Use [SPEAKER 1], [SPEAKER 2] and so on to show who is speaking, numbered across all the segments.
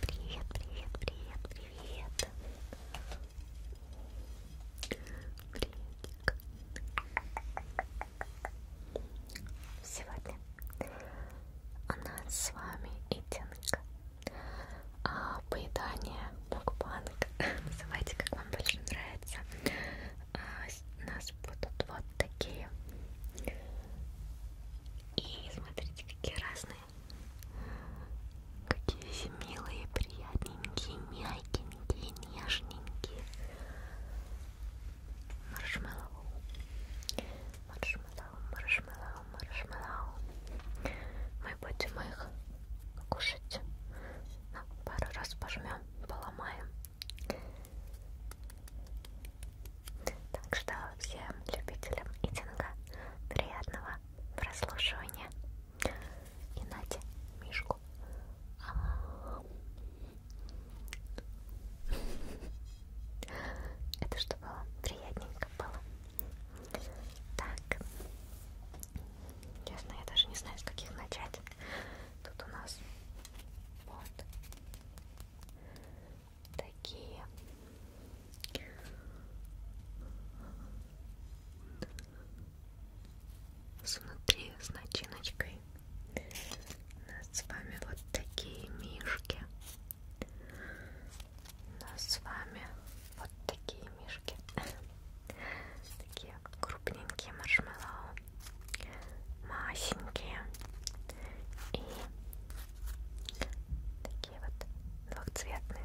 [SPEAKER 1] Привет, привет, привет, привет. Приветик. Сегодня у нас с вами идинг. А, поедание мукбанг. Называйте, как вам больше нравится. А, нас, нас будут вот такие. И смотрите, какие разные. Какие милые, приятненькие, мягенькие, нежненькие. Маршмеллоу. Маршмеллоу, маршмеллоу, маршмеллоу. Мы будем их кушать. На пару раз пожмем, поломаем. Так что всем любителям итинга приятного прослушивания. И Нате мишку. Это чтобы вам приятненько было. Так. Честно, я даже не знаю, с каких начать. Тут у нас вот такие с внутри с начиночкой у нас с вами вот такие мишки у нас с вами вот такие мишки такие крупненькие маршмеллоу масенькие и такие вот двухцветные.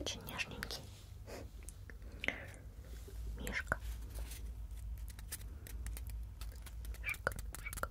[SPEAKER 1] Очень нежненький мишка. Мишка, мишка.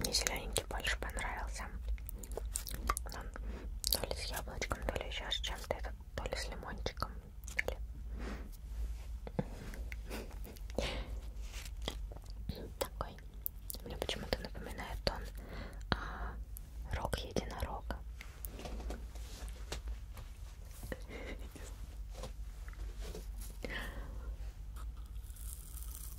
[SPEAKER 1] Мне зелененький больше понравился то ли с яблочком, то ли еще с чем-то, это то ли с лимончиком, то ли... Такой. Мне почему-то напоминает он а, рог единорога.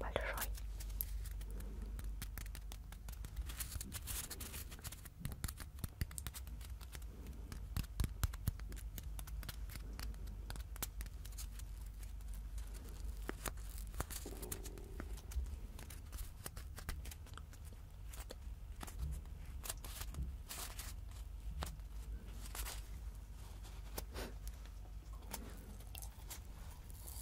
[SPEAKER 1] большой.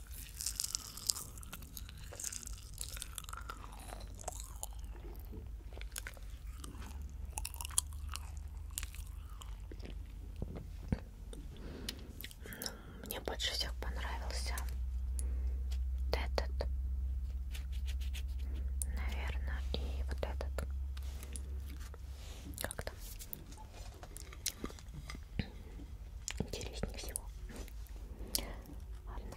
[SPEAKER 1] Ну, мне больше всех понравился вот этот, наверное, и вот этот. Как там? интереснее всего. Ладно.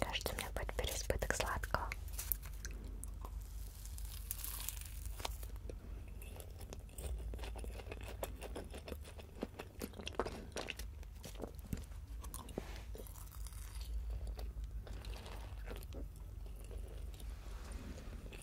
[SPEAKER 1] Кажется, у меня будет переизбыток сладкого.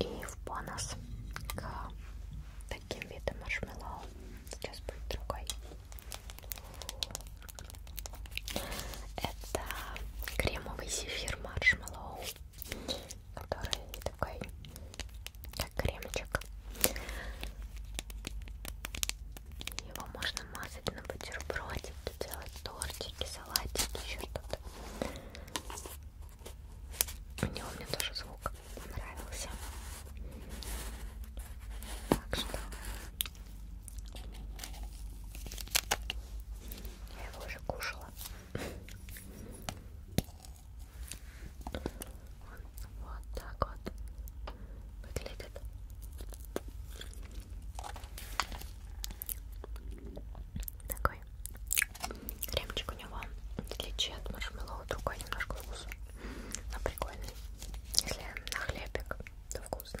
[SPEAKER 1] И в бонус к таким видам маршмеллоу сейчас будет другой. Это кремовый зефир маршмеллоу, который такой как кремчик. Его можно мазать на бутербродики, делать тортики, салатики, еще что-то. У него мне тоже звук понравился. Так что я его уже кушала. Вот так вот выглядит. Такой кремчик у него, в отличие от маршмеллоу, другой немножко вкус, но прикольный. Если на хлебик, то вкусно.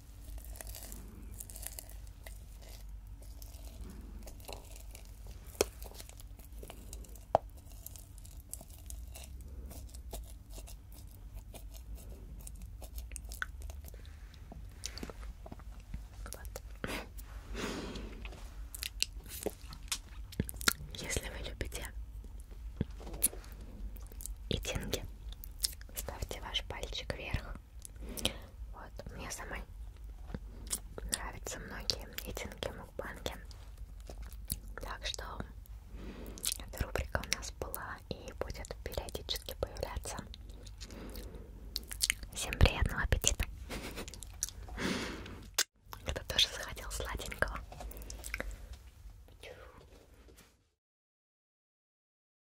[SPEAKER 1] Если вы любите и деньги, ставьте ваш пальчик вверх. Вот, мне самой нравятся многие единки мукбанки. Так что эта рубрика у нас была и будет периодически появляться. Всем приятного аппетита! Кто тоже захотел сладенького.